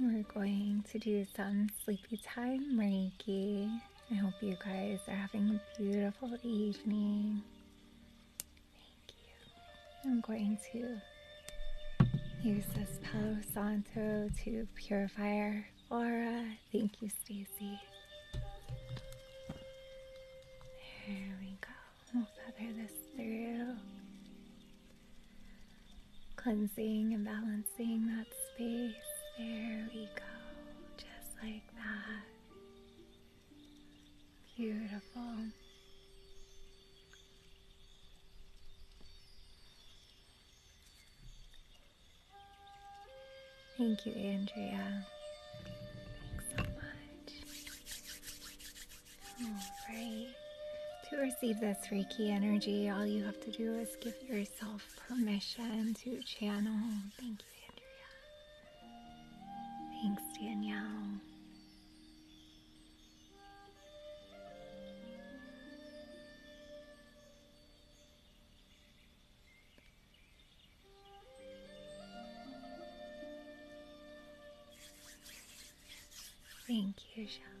We're going to do some sleepy time Reiki. I hope you guys are having a beautiful evening. Thank you. I'm going to use this Palo Santo to purify our aura. Thank you, Stacy. There we go. I'll feather this through. Cleansing and balancing that space. There we go. Just like that. Beautiful. Thank you, Andrea. Alright. To receive this Reiki energy, all you have to do is give yourself permission to channel. Thank you, Andrea. Thanks, Danielle. Thank you, Shala.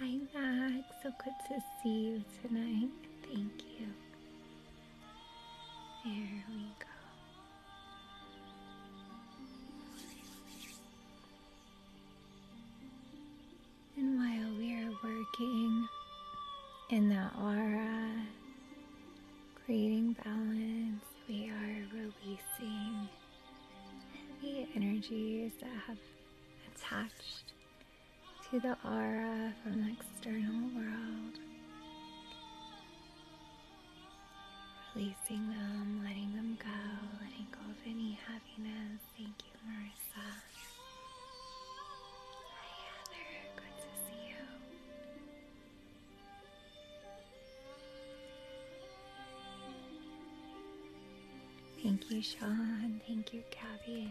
Hi, Max. So good to see you tonight. Thank you. There we go. And while we're working in the aura, creating balance, we are releasing the energies that have attached to the aura from the external world letting them go, letting go of any heaviness. Thank you, Marissa. Hi, Heather. Good to see you. Thank you, Sean. Thank you, Gabby.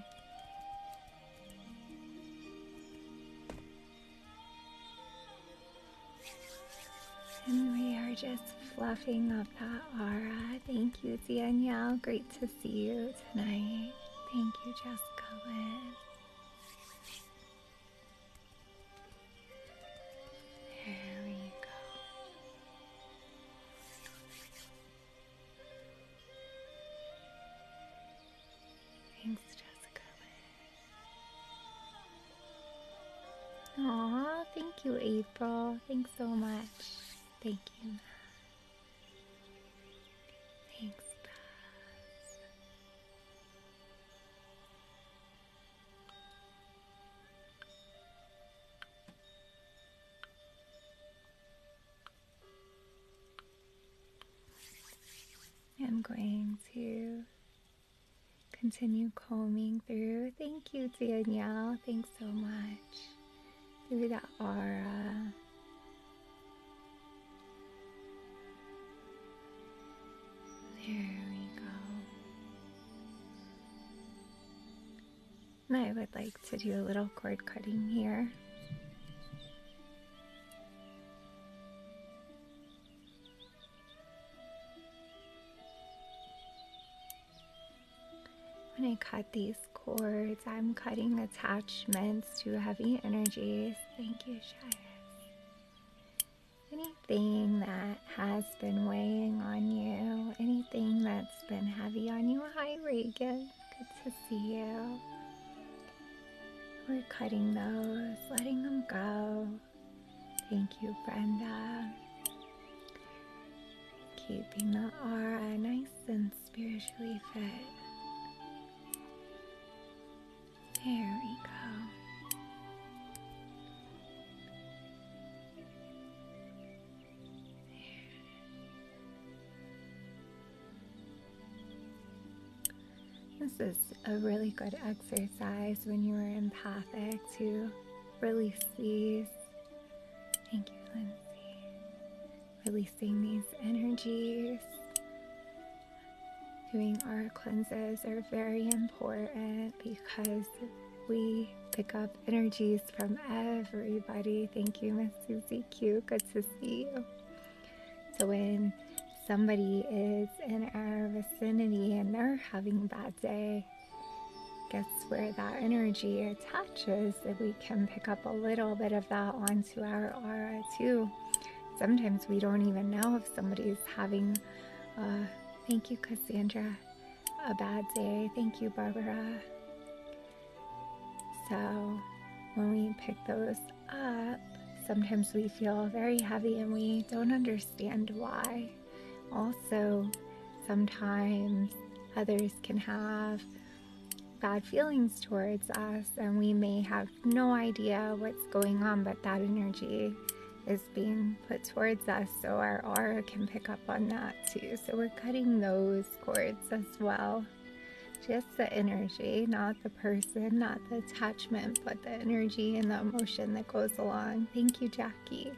And we are just fluffing up Abra Aura. Thank you, Danielle. Great to see you tonight. Thank you, Jessica There we go. Thanks, Jessica Aw, thank you, April. Thanks so much. Thank you. Thanks, Buzz. I'm going to Continue combing through. Thank you, Danielle. Thanks so much. Through that aura. There we go. And I would like to do a little cord cutting here. When I cut these cords, I'm cutting attachments to heavy energies. Thank you, Shias. Anything that has been weighing on you, anything that's been heavy on you. Hi, Regan. Good to see you. We're cutting those, letting them go. Thank you, Brenda. Keeping the aura nice and spiritually fit. There we go. This is a really good exercise when you're empathic to release these Thank you, Lindsay. Releasing these energies. Doing our cleanses are very important because we pick up energies from everybody. Thank you, Miss Susie Q. Good to see you. So when somebody is in our vicinity and they're having a bad day, Guess where that energy attaches, if we can pick up a little bit of that onto our aura too. Sometimes we don't even know if somebody's having, uh, thank you, Cassandra, a bad day. Thank you, Barbara. So when we pick those up, sometimes we feel very heavy and we don't understand why. Also, sometimes others can have bad feelings towards us, and we may have no idea what's going on, but that energy is being put towards us, so our aura can pick up on that too. So, we're cutting those cords as well. Just the energy, not the person, not the attachment, but the energy and the emotion that goes along. Thank you, Jackie.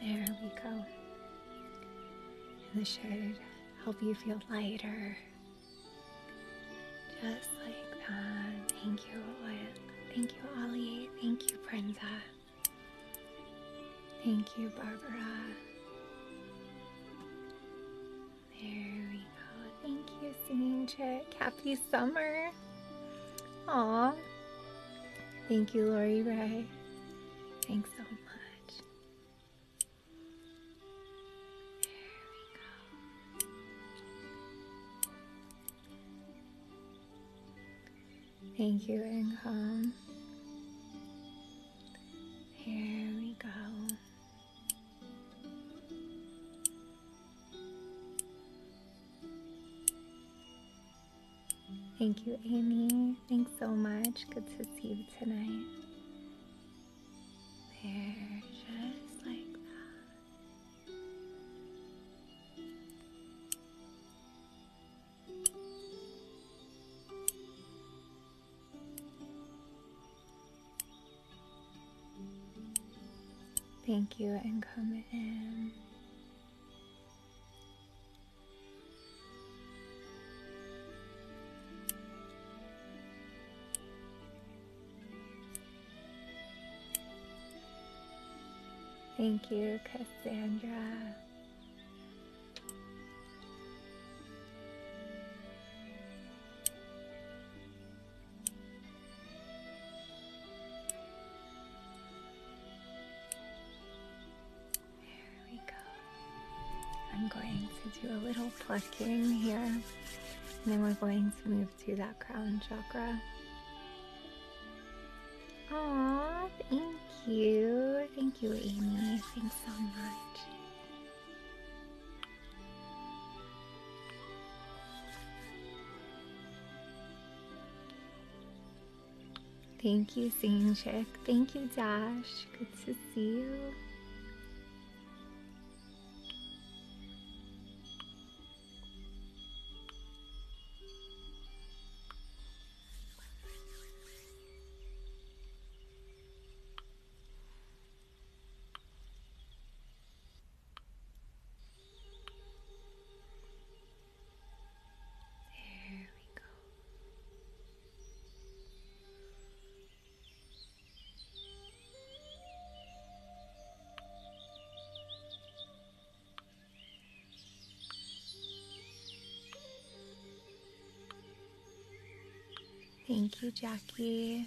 There we go. And this should help you feel lighter. Just like that. Thank you, Thank you, Ollie. Thank you, Brenda. Thank you, Barbara. There we go. Thank you, Singing Chick. Happy summer. Aw. Thank you, Lori Ray. Thanks so much. Thank you, and Income. Here we go. Thank you, Amy. Thanks so much. Good to see you tonight. There, just like that. Thank you, and come in. Thank you, Cassandra. There we go. I'm going to do a little plucking here, and then we're going to move to that crown chakra. Aw, thank you. Thank you, Amy. Thanks so much. Thank you, Sanjik. Thank you, Dash. Good to see you. There we go. Thank you, Jackie.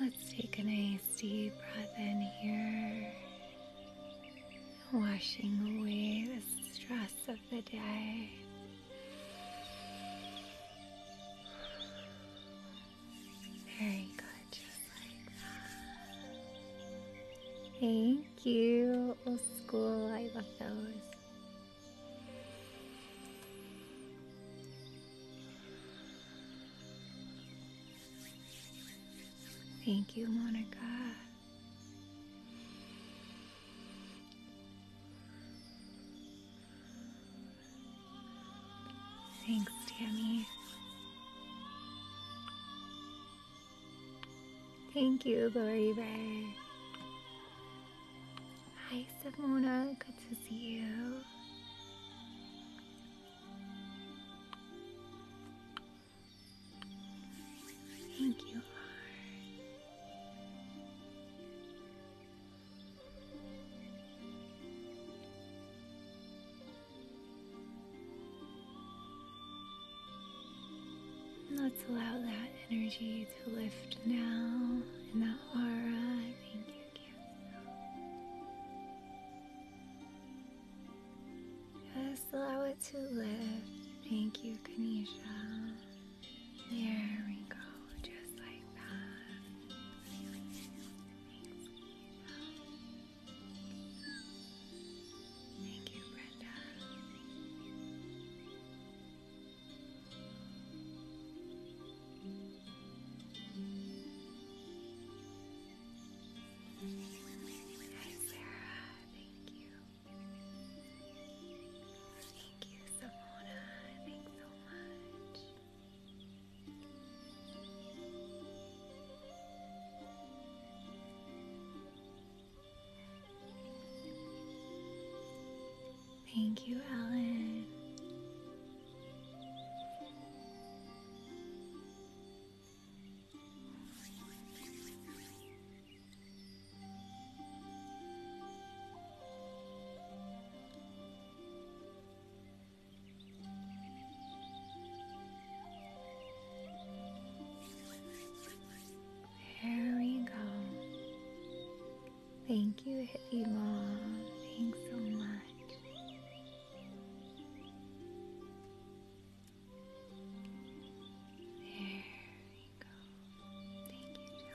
Let's take a nice deep breath in here, washing away the stress of the day. Very good, Thank you, old school. I love those. Thank you, Monica. Thanks, Tammy. Thank you, Lori Ray. Hi, Simona. Good to see you. Thank you, Let's allow that energy to lift now in that aura yourself. Just allow it to lift. Thank you, Kanisha. There we go, just like that. Thank you, Brenda. Hi, Sarah. Thank you. Thank you, Simona. Thanks so much. Thank you, Ellen. There we go. Thank you, Hippie Thanks so much. There we go. Thank you, John. Thank you, John. Thank you, John.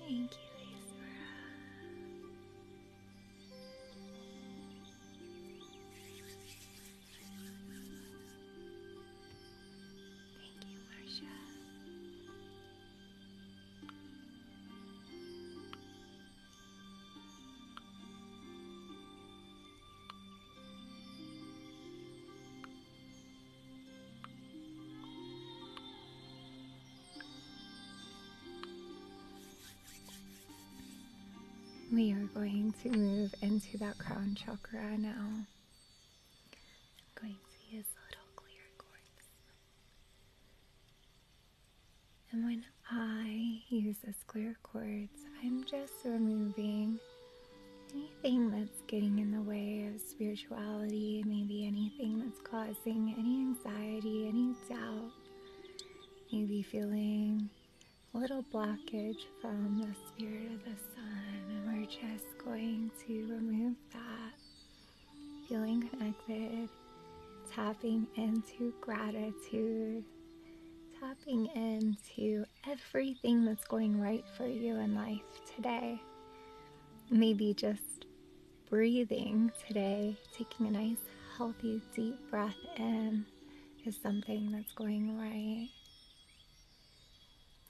Thank you, Ismara. Thank you, Marcia. We are going to move into that crown chakra now. I'm going to use little clear cords. And when I use the clear cords, I'm just removing anything that's getting in the way of spirituality, maybe anything that's causing any anxiety, any doubt, maybe feeling a little blockage from the spirit of the sun. And we're just going to remove that. Feeling connected, tapping into gratitude, tapping into everything that's going right for you in life today maybe just breathing today, taking a nice, healthy, deep breath in is something that's going right.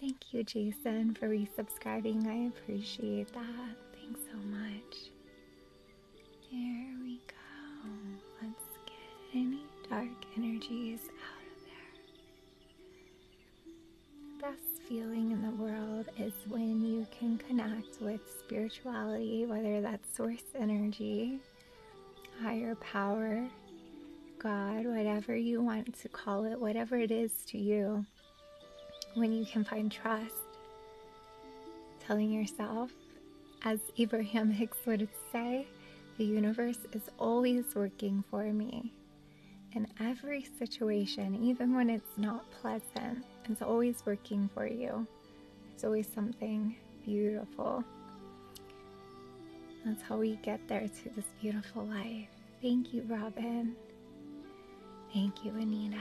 Thank you, Jason, for resubscribing. I appreciate that. Thanks so much. Here we go. Let's get any dark energies out of there. The best feeling in the world is when you can connect with spirituality, whether that's source energy, higher power, God, whatever you want to call it, whatever it is to you. When you can find trust, telling yourself, as Abraham Hicks would say, the universe is always working for me in every situation, even when it's not pleasant. It's always working for you, it's always something beautiful. That's how we get there to this beautiful life. Thank you, Robin. Thank you, Anita.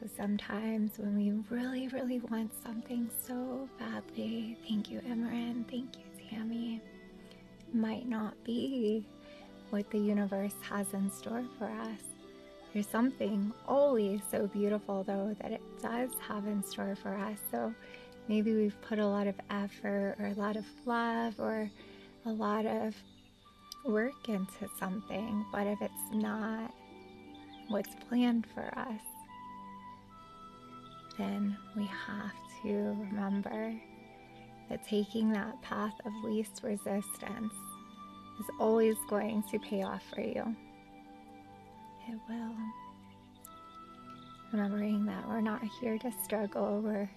So sometimes when we really, really want something so badly, thank you, Imran. Thank you, Sammy. Might not be what the universe has in store for us. There's something always so beautiful, though, that it does have in store for us. So maybe we've put a lot of effort or a lot of love or a lot of work into something, but if it's not what's planned for us, then we have to remember that taking that path of least resistance is always going to pay off for you. It will. Remembering that we're not here to struggle, we're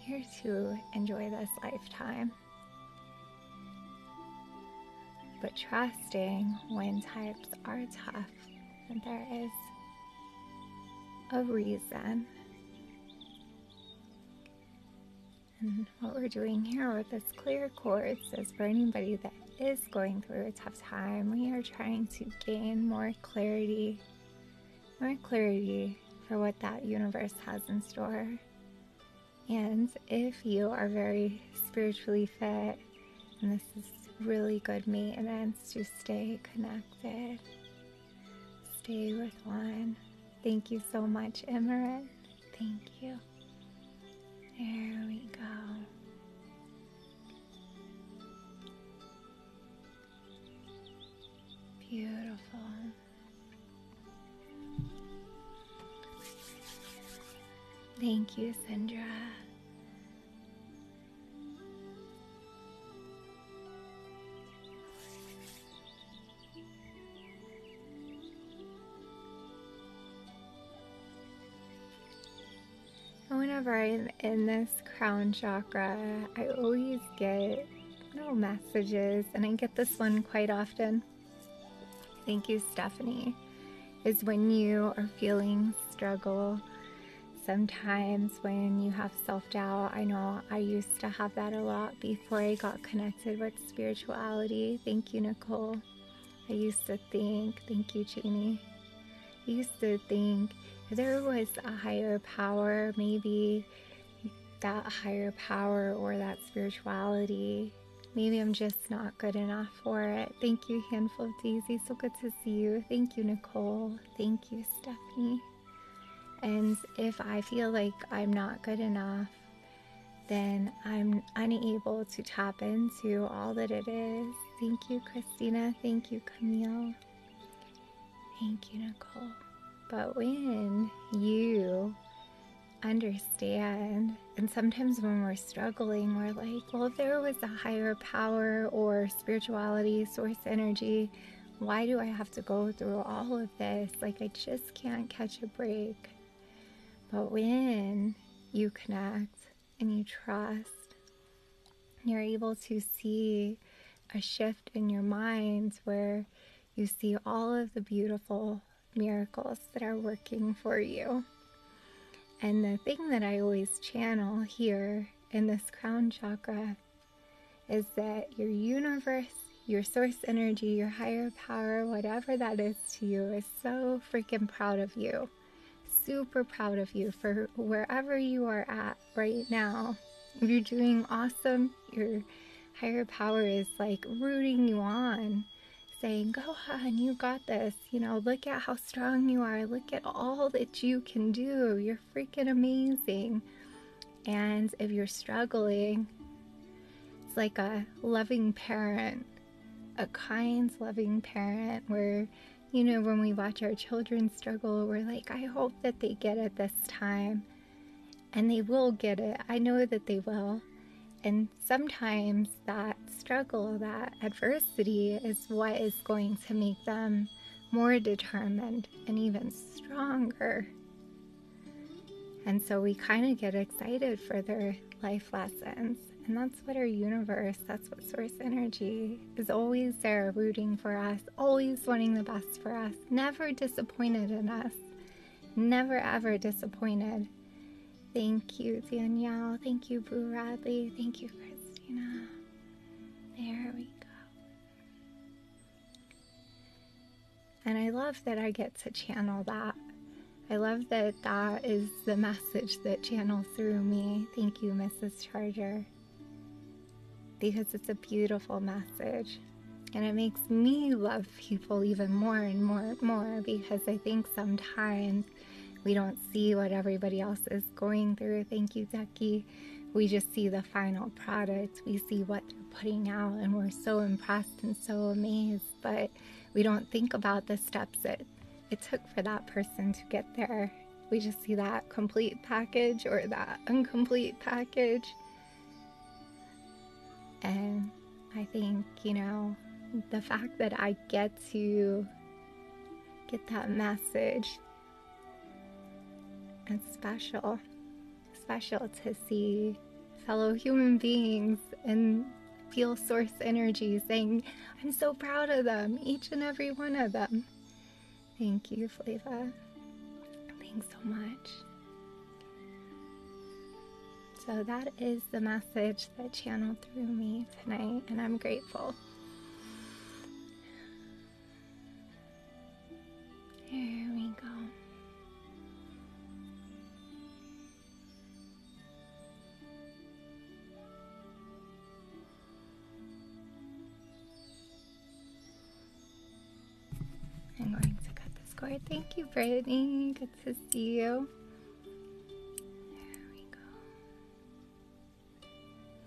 here to enjoy this lifetime. But trusting when times are tough, that there is a reason and what we're doing here with this clear quartz is for anybody that is going through a tough time, we are trying to gain more clarity, more clarity for what that universe has in store. And if you are very spiritually fit, and this is really good and maintenance to stay connected Stay with one. Thank you so much, Emirate. Thank you. There we go. Beautiful. Thank you, Sandra. Whenever I'm in this crown chakra, I always get little messages, and I get this one quite often. Thank you, Stephanie. Is when you are feeling struggle, sometimes when you have self doubt. I know I used to have that a lot before I got connected with spirituality. Thank you, Nicole. I used to think, thank you, Jeannie. I used to think there was a higher power, maybe that higher power or that spirituality. Maybe I'm just not good enough for it. Thank you, Handful of Daisy. So good to see you. Thank you, Nicole. Thank you, Stephanie. And if I feel like I'm not good enough, then I'm unable to tap into all that it is. Thank you, Christina. Thank you, Camille. Thank you, Nicole. But when you understand, and sometimes when we're struggling, we're like, well, if there was a higher power or spirituality, source energy, why do I have to go through all of this? Like, I just can't catch a break. But when you connect and you trust, you're able to see a shift in your minds where you see all of the beautiful miracles that are working for you. And the thing that I always channel here in this crown chakra is that your universe, your source energy, your higher power, whatever that is to you, is so freaking proud of you. Super proud of you for wherever you are at right now. You're doing awesome. Your higher power is like rooting you on, saying, Go on, you got this. You know, look at how strong you are. Look at all that you can do. You're freaking amazing. And if you're struggling, it's like a loving parent, a kind, loving parent, where, you know, when we watch our children struggle, we're like, I hope that they get it this time. And they will get it. I know that they will. And sometimes that struggle, that adversity is what is going to make them more determined and even stronger. And so we kind of get excited for their life lessons. And that's what our universe, that's what source energy is always there, rooting for us, always wanting the best for us, never disappointed in us, never ever disappointed. Thank you, Danielle. Thank you, Boo Radley. Thank you, Christina. There we go. And I love that I get to channel that. I love that that is the message that channels through me. Thank you, Mrs. Charger. Because it's a beautiful message. And it makes me love people even more and more and more because I think sometimes we don't see what everybody else is going through. Thank you, Ducky we just see the final product we see what they're putting out and we're so impressed and so amazed but we don't think about the steps it it took for that person to get there we just see that complete package or that incomplete package and i think you know the fact that i get to get that message it's special, special to see fellow human beings and feel source energy saying, I'm so proud of them, each and every one of them. Thank you, Flava. Thanks so much. So, that is the message that channeled through me tonight, and I'm grateful. Here we go. I'm going to cut this cord. Thank you, Brittany. Good to see you. There we go.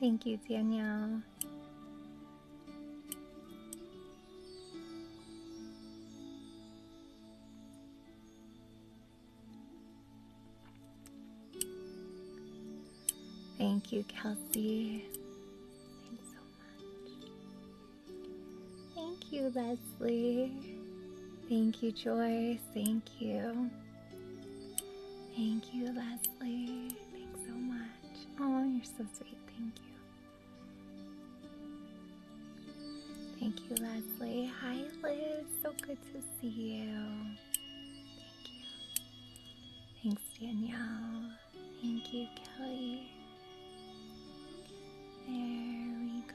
Thank you, Danielle. Thank you, Kelsey. Thank you, Leslie. Thank you, Joyce. Thank you. Thank you, Leslie. Thanks so much. Oh, you're so sweet. Thank you. Thank you, Leslie. Hi, Liz. So good to see you. Thank you. Thanks, Danielle. Thank you, Kelly. There we go.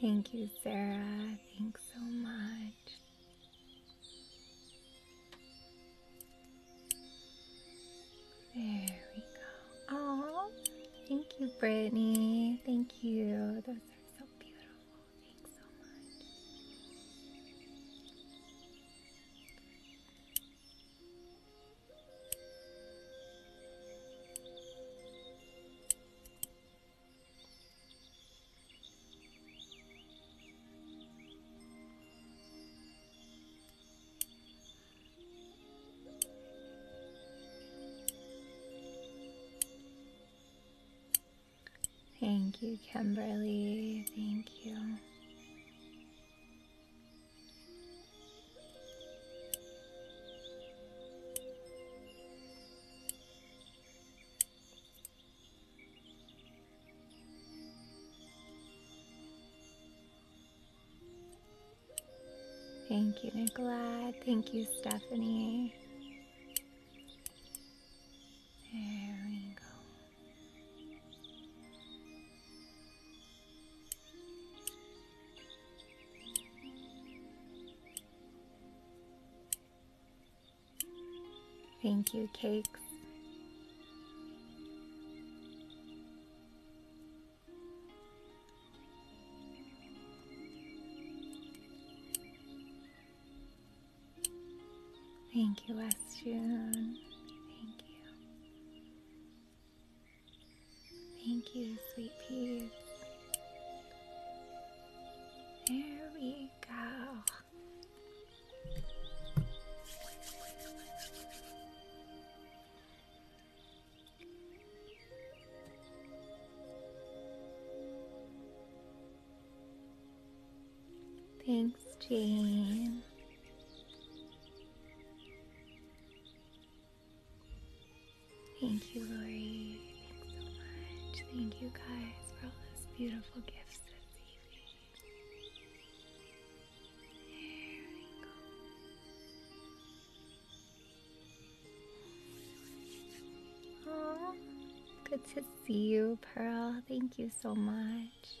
Thank you, Sarah. Thanks so much. There we go. Oh, thank you, Brittany. Thank you. Those are so beautiful. Thanks so much. Thank you, Kimberly. Thank you. Thank you, Nicolette. Thank you, Stephanie. There we go. Thank you, cakes. Thank you, West June. Thank you. Thank you, sweet peas. There we go. Thanks, Jane. Thank you, Lori. Thanks so much. Thank you guys for all those beautiful gifts this evening. There we go. Aww, good to see you, Pearl. Thank you so much.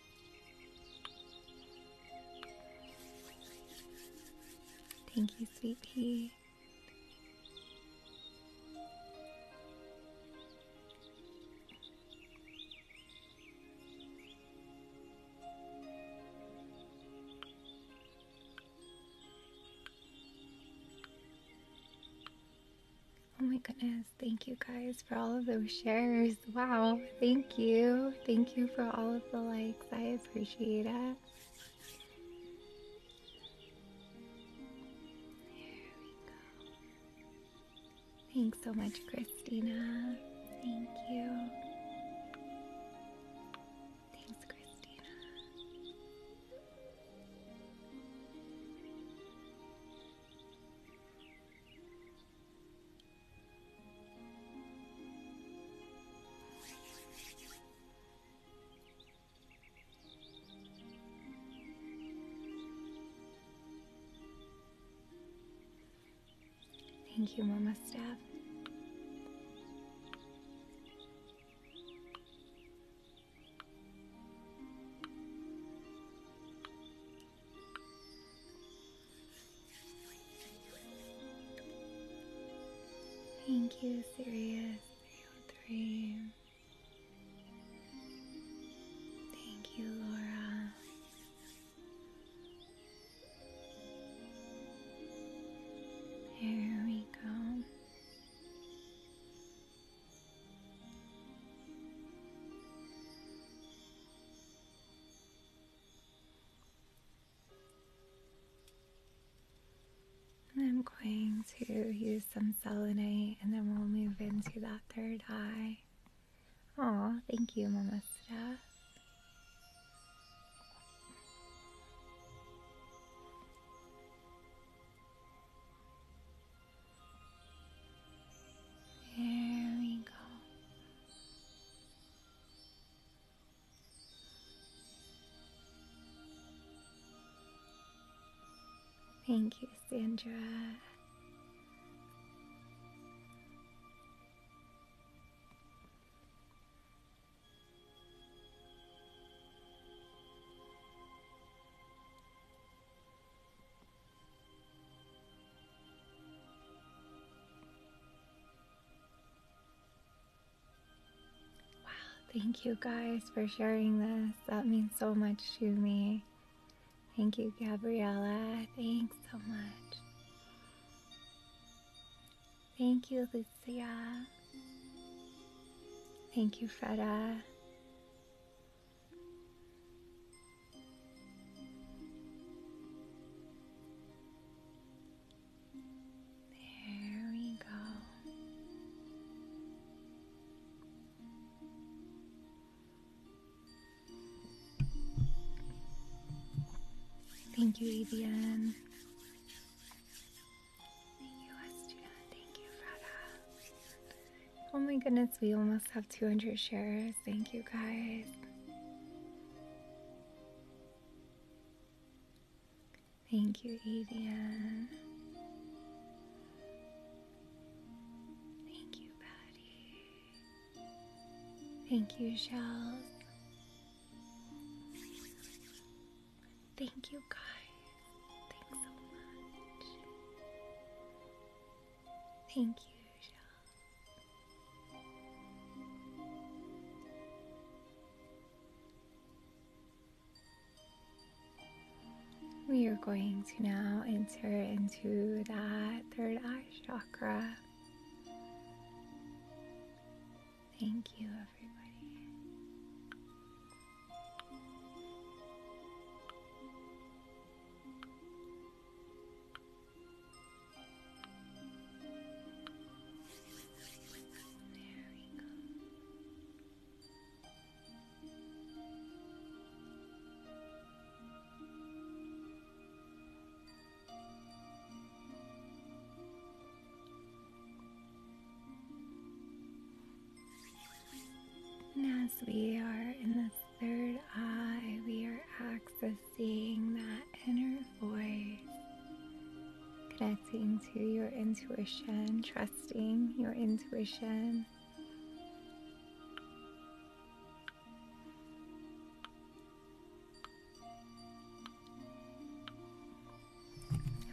Thank you, sweet pea. Oh my goodness thank you guys for all of those shares. Wow, thank you. Thank you for all of the likes. I appreciate it. Here we go. Thanks so much, Christina. Thank you. Thanks, Christina. Thank you, Mama Staff. Thank you, Sirius Thank you, Laura. Here we go. And I'm going to use some selenite and then we'll move into that third eye. Oh, thank you, Mamastra. There we go. Thank you, Sandra. Wow, thank you guys for sharing this. That means so much to me. Thank you, Gabriella. Thanks so much. Thank you, Lucia. Thank you, Freda. There we go. Thank you, Avian. Thank you, Astuna. Thank you, Frada. Oh my goodness, we almost have 200 shares. Thank you guys. Thank you, Avian. Thank you, Patty. Thank you, Shells. Thank you, guys. Thanks so much. Thank you, We are going to now enter into that third eye chakra. Thank you, everybody as we are in the third eye, we are accessing that inner voice, connecting to your intuition, trusting your intuition.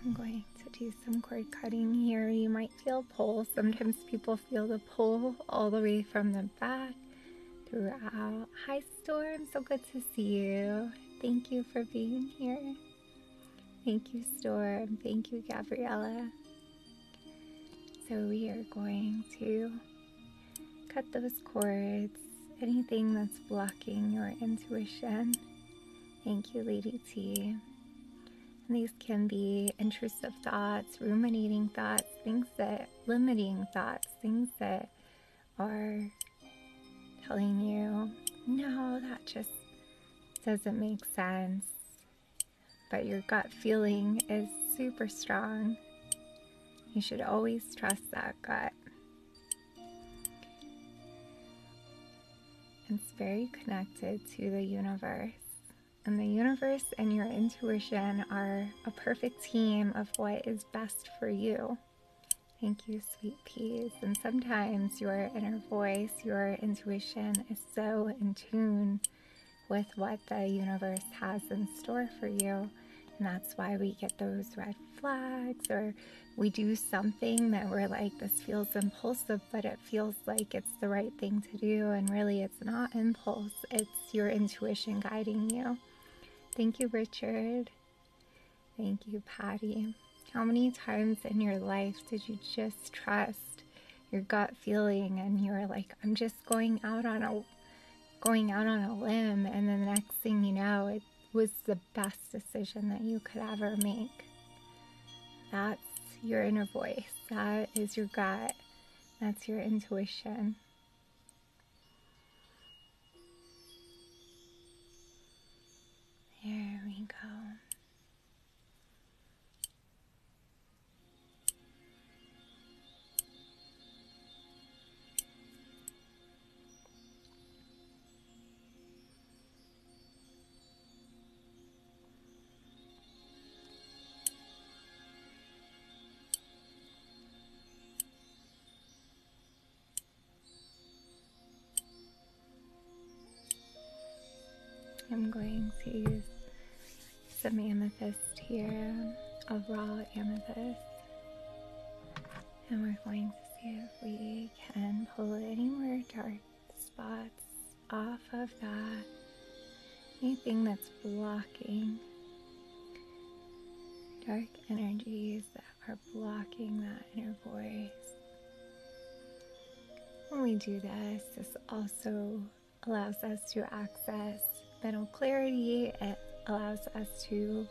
I'm going to do some cord cutting here. You might feel pull. Sometimes people feel the pull all the way from the back throughout. Hi, Storm. So good to see you. Thank you for being here. Thank you, Storm. Thank you, Gabriella. So we are going to cut those cords, anything that's blocking your intuition. Thank you, Lady T. these can be intrusive thoughts, ruminating thoughts, things that limiting thoughts, things that are telling you, no, that just doesn't make sense. But your gut feeling is super strong. You should always trust that gut. It's very connected to the universe and the universe and your intuition are a perfect team of what is best for you. Thank you, sweet peas. And sometimes your inner voice, your intuition is so in tune with what the universe has in store for you. And that's why we get those red flags or we do something that we're like, this feels impulsive, but it feels like it's the right thing to do. And really, it's not impulse, it's your intuition guiding you. Thank you, Richard. Thank you, Patty. How many times in your life did you just trust your gut feeling and you were like, I'm just going out on a going out on a limb and then the next thing you know it was the best decision that you could ever make. That's your inner voice. That is your gut. That's your intuition. There we go. I'm going to use some amethyst here, of raw amethyst, and we're going to see if we can pull any more dark spots off of that, anything that's blocking dark energies that are blocking that inner voice. When we do this, this also allows us to access mental clarity. It allows us to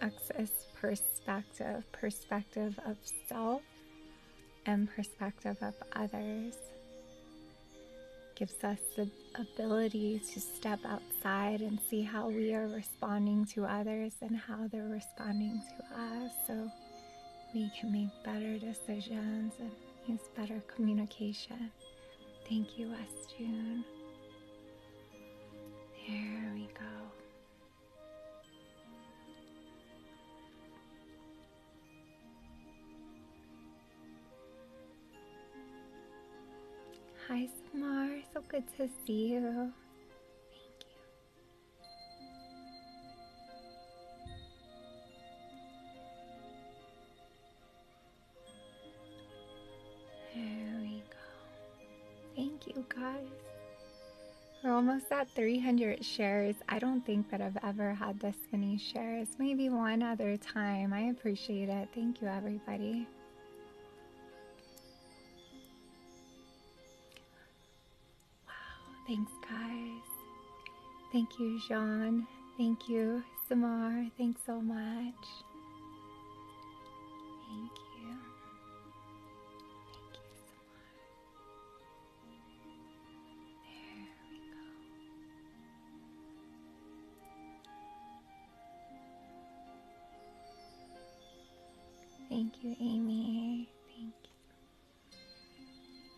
access perspective, perspective of self and perspective of others gives us the ability to step outside and see how we are responding to others and how they're responding to us so we can make better decisions and use better communication. Thank you, West June. There we go. Hi, Samar. So good to see you. Thank you. There we go. Thank you, guys. We're almost at 300 shares. I don't think that I've ever had this Destiny shares. Maybe one other time. I appreciate it. Thank you, everybody. Wow, thanks, guys. Thank you, Jean. Thank you, Samar. Thanks so much. Thank you. Thank you so much. Thank you, Amy. Thank you.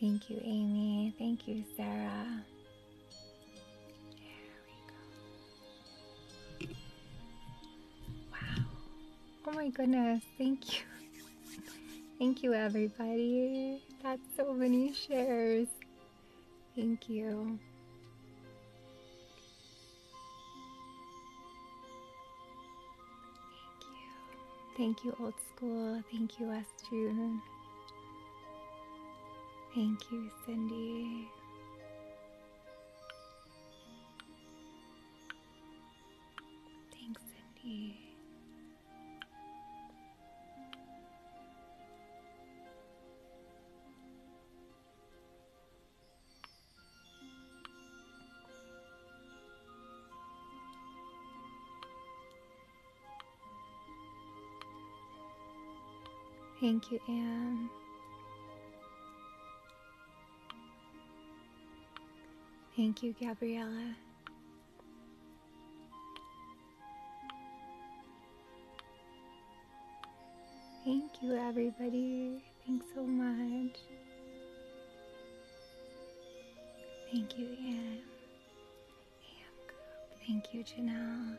Thank you, Amy. Thank you, Sarah. There we go. Wow. Oh my goodness thank you. Thank you, everybody. That's so many shares. Thank you. Thank you. Old School. Thank you, Estune. Thank you, Cindy. Thanks, Cindy. Thank you, Anne. Thank you, Gabriella. Thank you, everybody. Thanks so much. Thank you, Anne. Thank you, Janelle.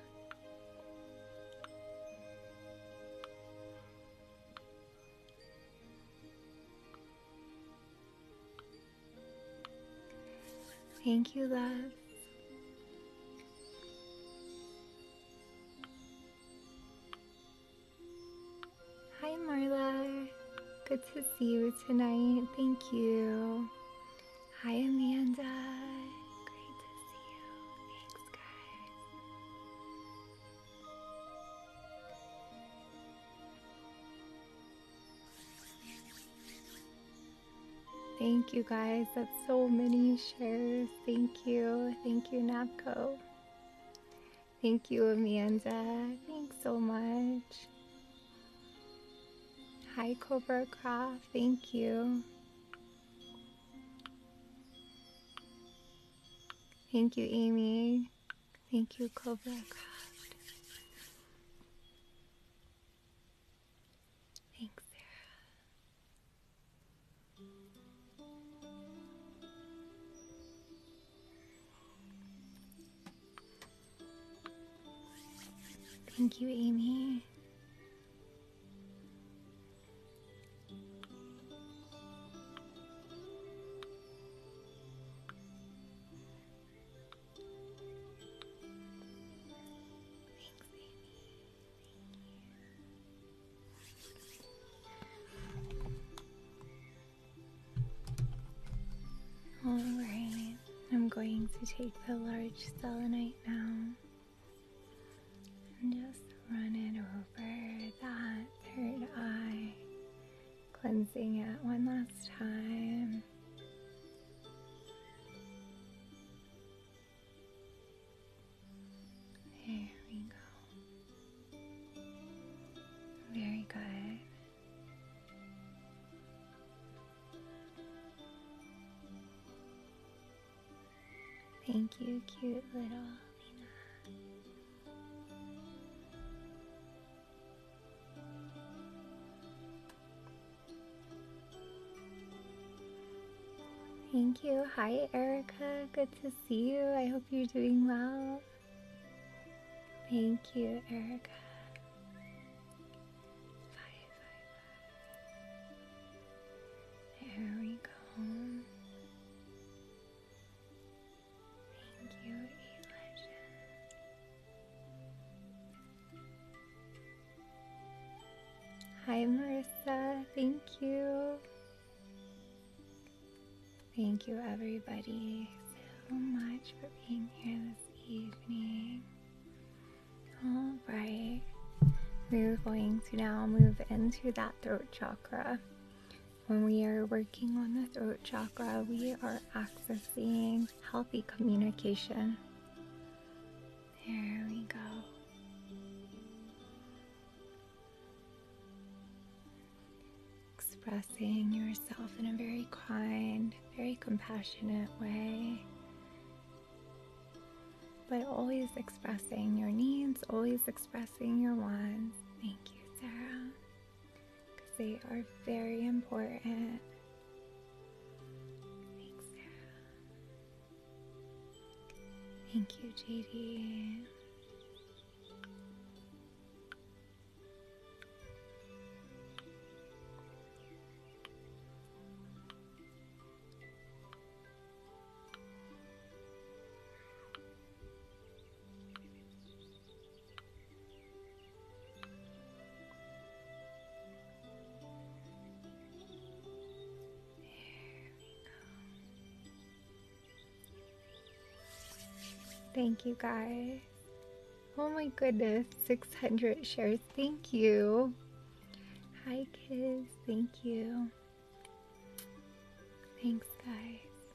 Thank you, love. Hi, Marla. Good to see you tonight. Thank you. Hi, Amanda. Great to see you. Thanks, guys. Thank you guys. That's so many shares. Thank you. Thank you, Napco. Thank you, Amanda. Thanks so much. Hi, Cobra Craft. Thank you. Thank you, Amy. Thank you, Cobra Craft. Thanks, Sarah. Thank you, Amy. Alright, I'm going to take the large selenite now and just Running over that third eye, cleansing it one last time. There we go. Very good. Thank you, cute little Lena. Thank you. Hi, Erica. Good to see you. I hope you're doing well. Thank you, Erica. Five, five, five. we go. Thank you, Hi, Marissa. Thank you. Thank you, everybody, so much for being here this evening. All right, we're going to now move into that throat chakra. When we are working on the throat chakra, we are accessing healthy communication. There we go. Expressing yourself in a very kind, very compassionate way. but always expressing your needs, always expressing your wants. Thank you, Sarah because they are very important. Thanks, Sarah. Thank you, JD. Thank you guys. Oh my goodness, 600 shares. Thank you. Hi kids, thank you. Thanks guys.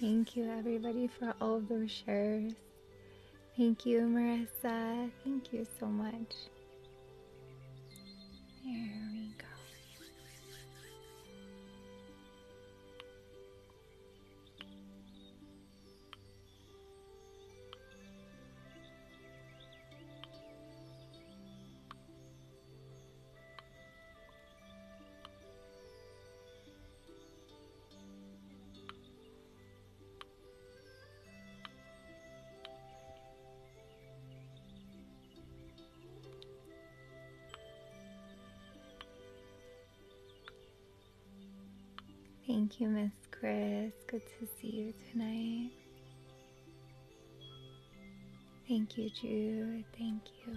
Thank you, everybody, for all those shares. Thank you, Marissa. Thank you so much. There we go. Thank you, Miss Chris. Good to see you tonight. Thank you, Jude. Thank you.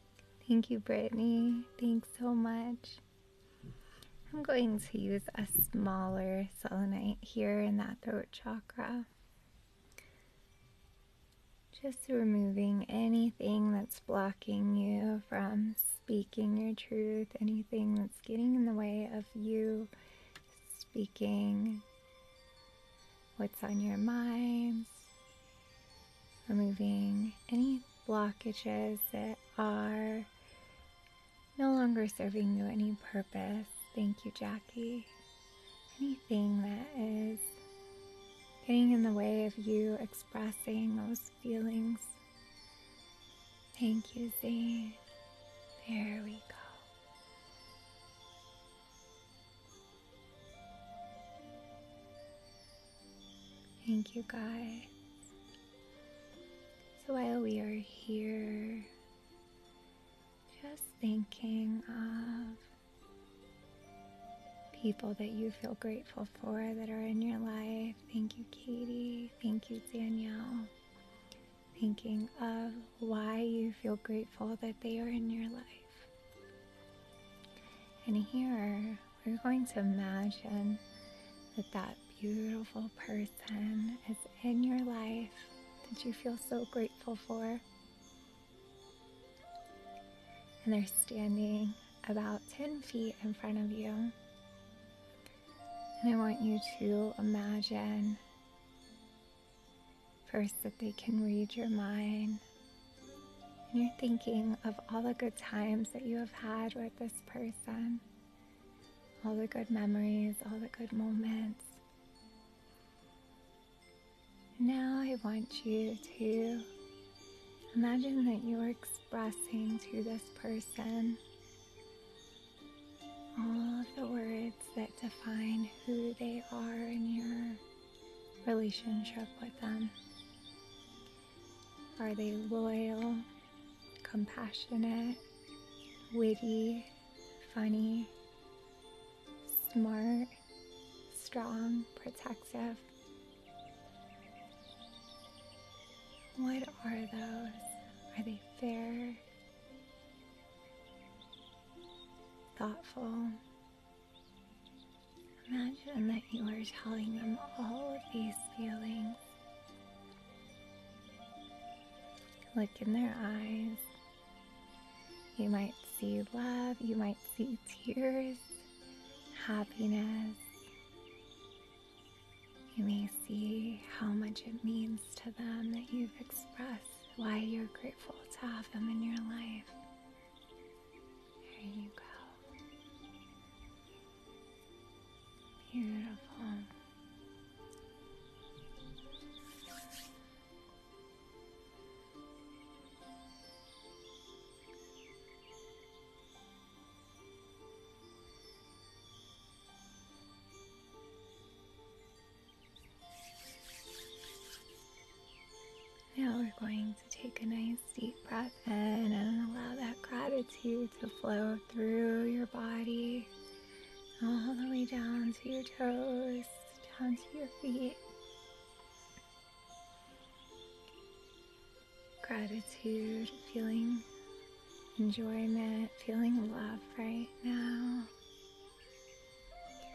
Thank you, Brittany. Thanks so much. I'm going to use a smaller selenite here in that throat chakra. Just removing anything that's blocking you from speaking your truth, anything that's getting in the way of you speaking what's on your mind, removing any blockages that are no longer serving you any purpose. Thank you, Jackie. Anything that is getting in the way of you expressing those feelings. Thank you, Zane. There we go. Thank you, guys. So while we are here, just thinking of people that you feel grateful for that are in your life. Thank you, Katie. Thank you, Danielle. Thinking of why you feel grateful that they are in your life. And here, we're going to imagine that that beautiful person is in your life that you feel so grateful for. And they're standing about 10 feet in front of you. And I want you to imagine first that they can read your mind and you're thinking of all the good times that you have had with this person, all the good memories, all the good moments. Now I want you to imagine that you are expressing to this person all of the words that define who they are in your relationship with them. Are they loyal, compassionate, witty, funny, smart, strong, protective? What are those? Are they fair, thoughtful, Imagine that you are telling them all of these feelings. Look in their eyes. You might see love, you might see tears, happiness. You may see how much it means to them that you've expressed why you're grateful to have them in your life. There you go. Beautiful. Now we're going to take a nice deep breath in and allow that gratitude to flow through your body, all the way down to your toes, down to your feet. Gratitude, feeling enjoyment, feeling love right now,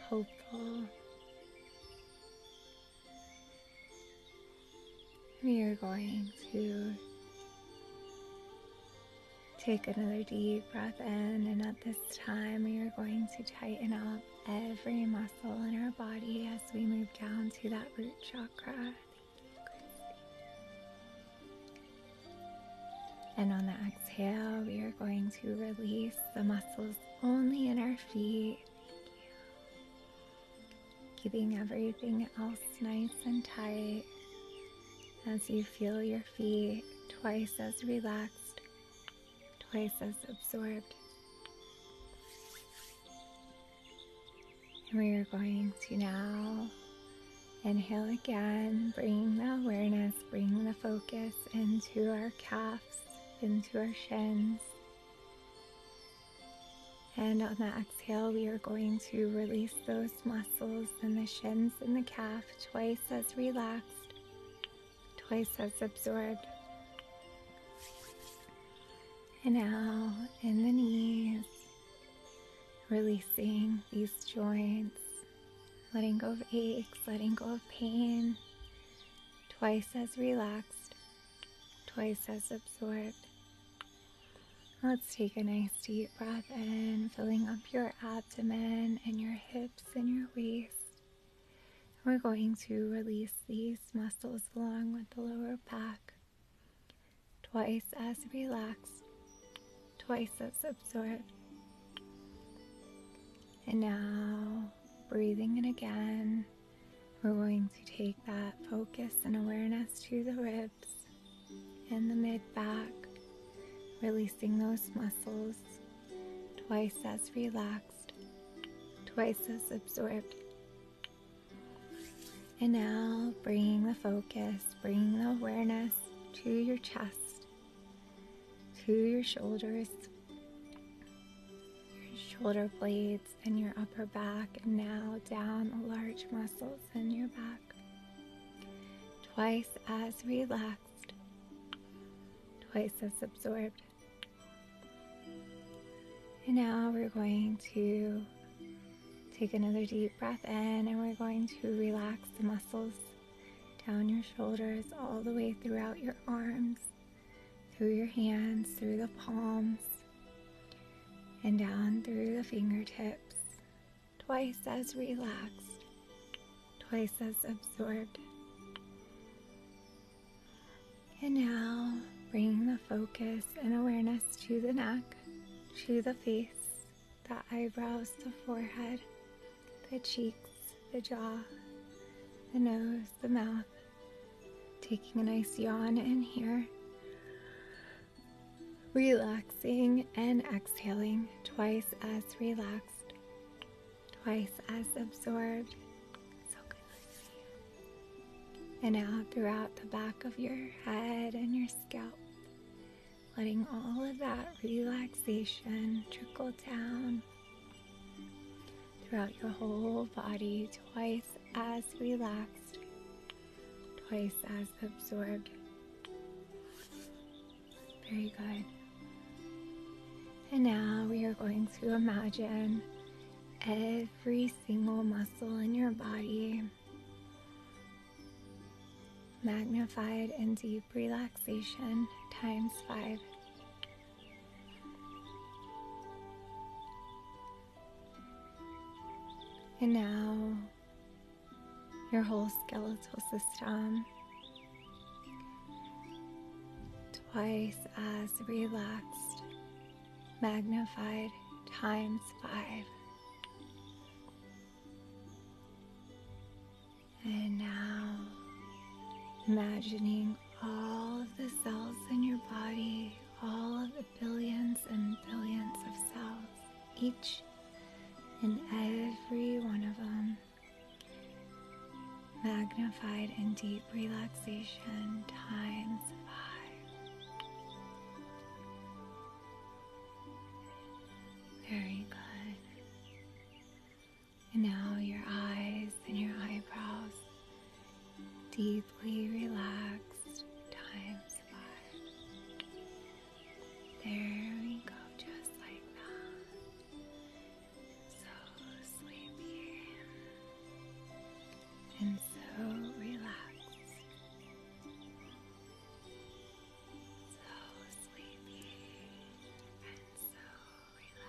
hopeful, we are going to take another deep breath in, and at this time, we are going to tighten up every muscle in our body as we move down to that root chakra. And on the exhale, we are going to release the muscles only in our feet keeping everything else nice and tight as you feel your feet twice as relaxed, twice as absorbed. we are going to now inhale again, bring the awareness, bring the focus into our calves, into our shins. And on the exhale, we are going to release those muscles in the shins and the calf twice as relaxed, twice as absorbed. And now in the knees, releasing these joints, letting go of aches, letting go of pain, twice as relaxed, twice as absorbed. Let's take a nice deep breath in, filling up your abdomen and your hips and your waist. We're going to release these muscles along with the lower back. Twice as relaxed, twice as absorbed. And now breathing in again. We're going to take that focus and awareness to the ribs and the mid back, releasing those muscles twice as relaxed, twice as absorbed. And now bringing the focus, bringing the awareness to your chest, to your shoulders, your shoulder blades, joints in your upper back and now down the large muscles in your back. Twice as relaxed, twice as absorbed. And now we're going to take another deep breath in and we're going to relax the muscles down your shoulders all the way throughout your arms through your hands, through the palms, and down through the fingertips, twice as relaxed, twice as absorbed. And now bring the focus and awareness to the neck, to the face, the eyebrows, the forehead, the cheeks, the jaw, the nose, the mouth, taking a nice yawn in here, relaxing and exhaling twice as relaxed, twice as absorbed. And out throughout the back of your head and your scalp. Letting all of that relaxation trickle down throughout your whole body twice as relaxed, twice as absorbed. Very good. And now we are going to imagine every single muscle in your body magnified in deep relaxation times five. And now your whole skeletal system twice as relaxed, magnified times five. And now, imagining all of the cells in your body, all of billions and billions of cells, each and every one of them, magnified in deep relaxation times five. Very good. And now your eyes and your eyebrows deeply relaxed times five. There we go, just like that. So sleepy and so relaxed. So sleepy and so relaxed.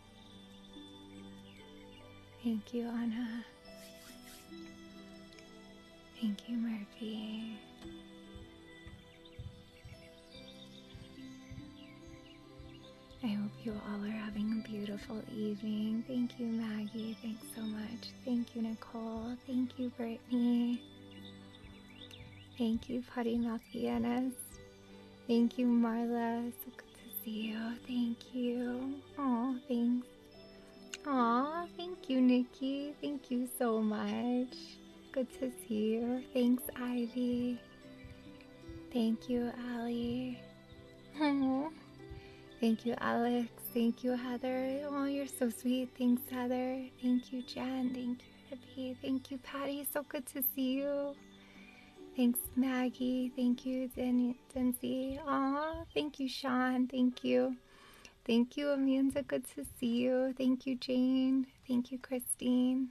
Thank you, Anna. Thank you, Murphy. I hope you all are having a beautiful evening. Thank you, Maggie. Thanks so much. Thank you, Nicole. Thank you, Brittany. Thank you, Patty Malfianas. Thank you, Marla. So good to see you. Thank you. Oh, thanks. Aw, thank you, Nikki. Thank you so much. Good to see you. Thanks, Ivy. Thank you, Ali. Oh, thank you, Alex. Thank you, Heather. Oh, you're so sweet. Thanks, Heather. Thank you, Jen. Thank you, Hippie. Thank you, Patty. So good to see you. Thanks, Maggie. Thank you, Denzi. Aw, thank you, Sean. Thank you. Thank you, Amanda. Good to see you. Thank you, Jane. Thank you, Christine.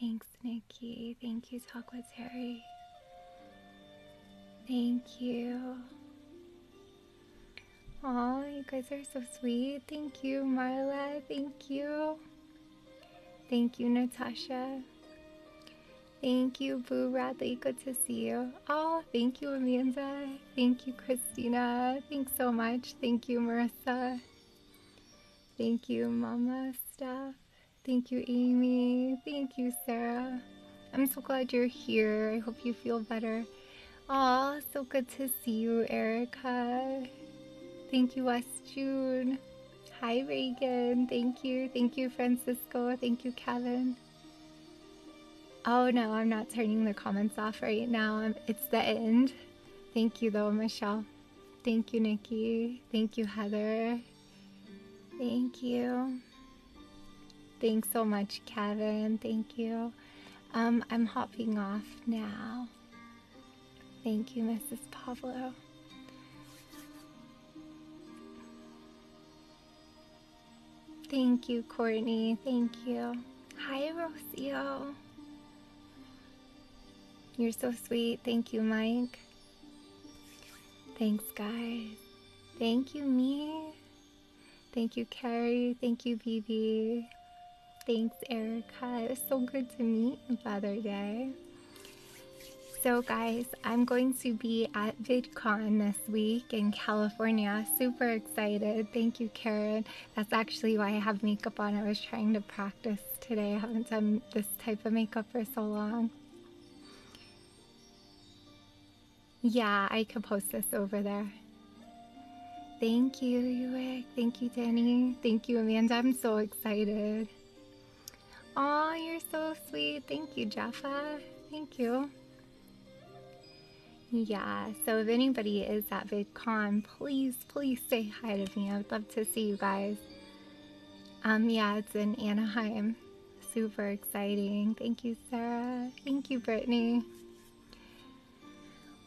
Thanks, Nikki. Thank you, Talk with Terry. Thank you. Oh, you guys are so sweet. Thank you, Marla. Thank you. Thank you, Natasha. Thank you, Boo Radley. Good to see you. Oh, thank you, Amanda. Thank you, Christina. Thanks so much. Thank you, Marissa. Thank you, Mama Staff. Thank you, Amy. Thank you, Sarah. I'm so glad you're here. I hope you feel better. Oh, so good to see you, Erica. Thank you, West June. Hi, Reagan. Thank you. Thank you, Francisco. Thank you, Kevin. Oh no, I'm not turning the comments off right now. Um, it's the end. Thank you, though, Michelle. Thank you, Nikki. Thank you, Heather. Thank you. Thanks so much, Kevin. Thank you. Um, I'm hopping off now. Thank you, Mrs. Pablo. Thank you, Courtney. Thank you. Hi, Rocio. You're so sweet. Thank you, Mike. Thanks, guys. Thank you, me. Thank you, Carrie. Thank you, BB. Thanks, Erica. It was so good to meet you, Father Day. So, guys, I'm going to be at VidCon this week in California. Super excited. Thank you, Karen. That's actually why I have makeup on. I was trying to practice today. I haven't done this type of makeup for so long. Yeah, I could post this over there. Thank you, Uick. Thank you, Danny. Thank you, Amanda. I'm so excited. Oh, you're so sweet. Thank you, Jaffa. Thank you. Yeah, so if anybody is at VidCon, please, please say hi to me. I would love to see you guys. Um, yeah, it's in Anaheim. Super exciting. Thank you, Sarah. Thank you, Brittany.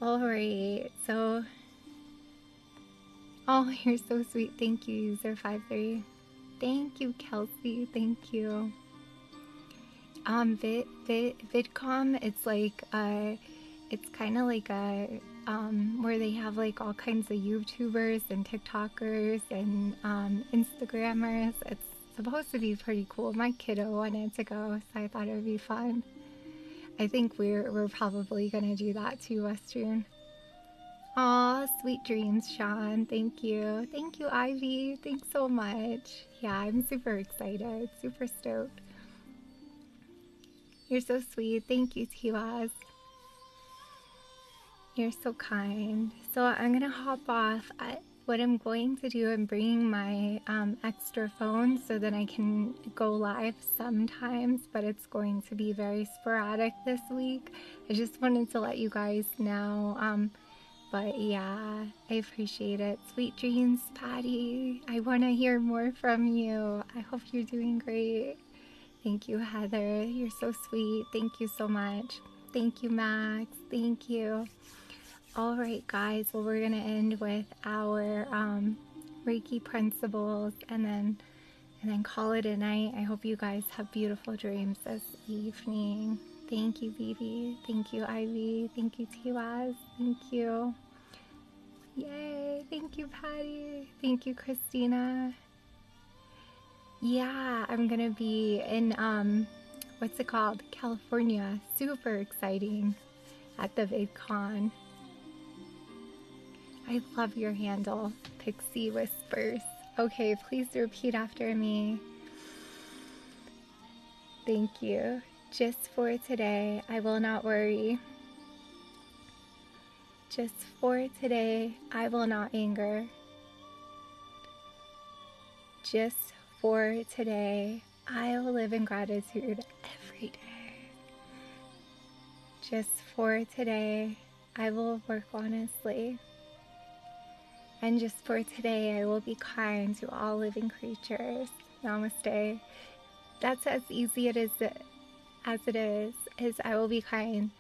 All right, so Oh, you're so sweet. Thank you, user 53. Thank you, Kelsey. Thank you. Um, vid, vid, vidcom. It's like uh, it's kind of like a um where they have like all kinds of YouTubers and TikTokers and um, Instagrammers. It's supposed to be pretty cool. My kiddo wanted to go, so I thought it would be fun. I think we're we're probably gonna do that too, Western. Sean. Aw, sweet dreams, Sean. Thank you. Thank you, Ivy. Thanks so much. Yeah, I'm super excited. Super stoked. You're so sweet. Thank you, Tiwaz. You're so kind. So I'm gonna hop off. I, what I'm going to do, I'm bringing my um, extra phone so that I can go live sometimes, but it's going to be very sporadic this week. I just wanted to let you guys know. Um, but yeah, I appreciate it. Sweet dreams, Patty. I want to hear more from you. I hope you're doing great. Thank you, Heather. You're so sweet. Thank you so much. Thank you, Max. Thank you. All right, guys. Well, we're going to end with our um, Reiki principles and then and then call it a night. I hope you guys have beautiful dreams this evening. Thank you, Vivi. Thank you, Ivy. Thank you, Tiwaz. Thank you. Yay. Thank you, Patty. Thank you, Christina. Yeah, I'm going to be in, um, what's it called? California. Super exciting at the VidCon. I love your handle. Pixie whispers. Okay, please repeat after me. Thank you. Just for today, I will not worry. Just for today, I will not anger. Just for today, I will live in gratitude every day. Just for today, I will work honestly. And just for today, I will be kind to all living creatures. Namaste. That's as easy it is as it is, is I will be kind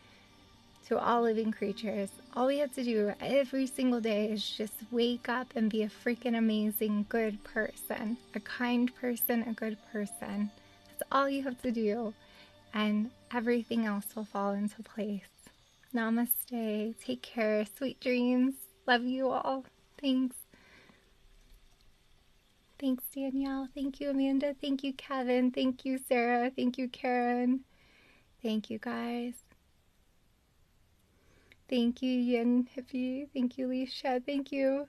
to all living creatures. All we have to do every single day is just wake up and be a freaking amazing good person, a kind person, a good person. That's all you have to do and everything else will fall into place. Namaste. Take care. Sweet dreams. Love you all. Thanks. Thanks, Danielle. Thank you, Amanda. Thank you, Kevin. Thank you, Sarah. Thank you, Karen. Thank you, guys. Thank you, Yin Hippy. Thank you, Leisha. Thank you.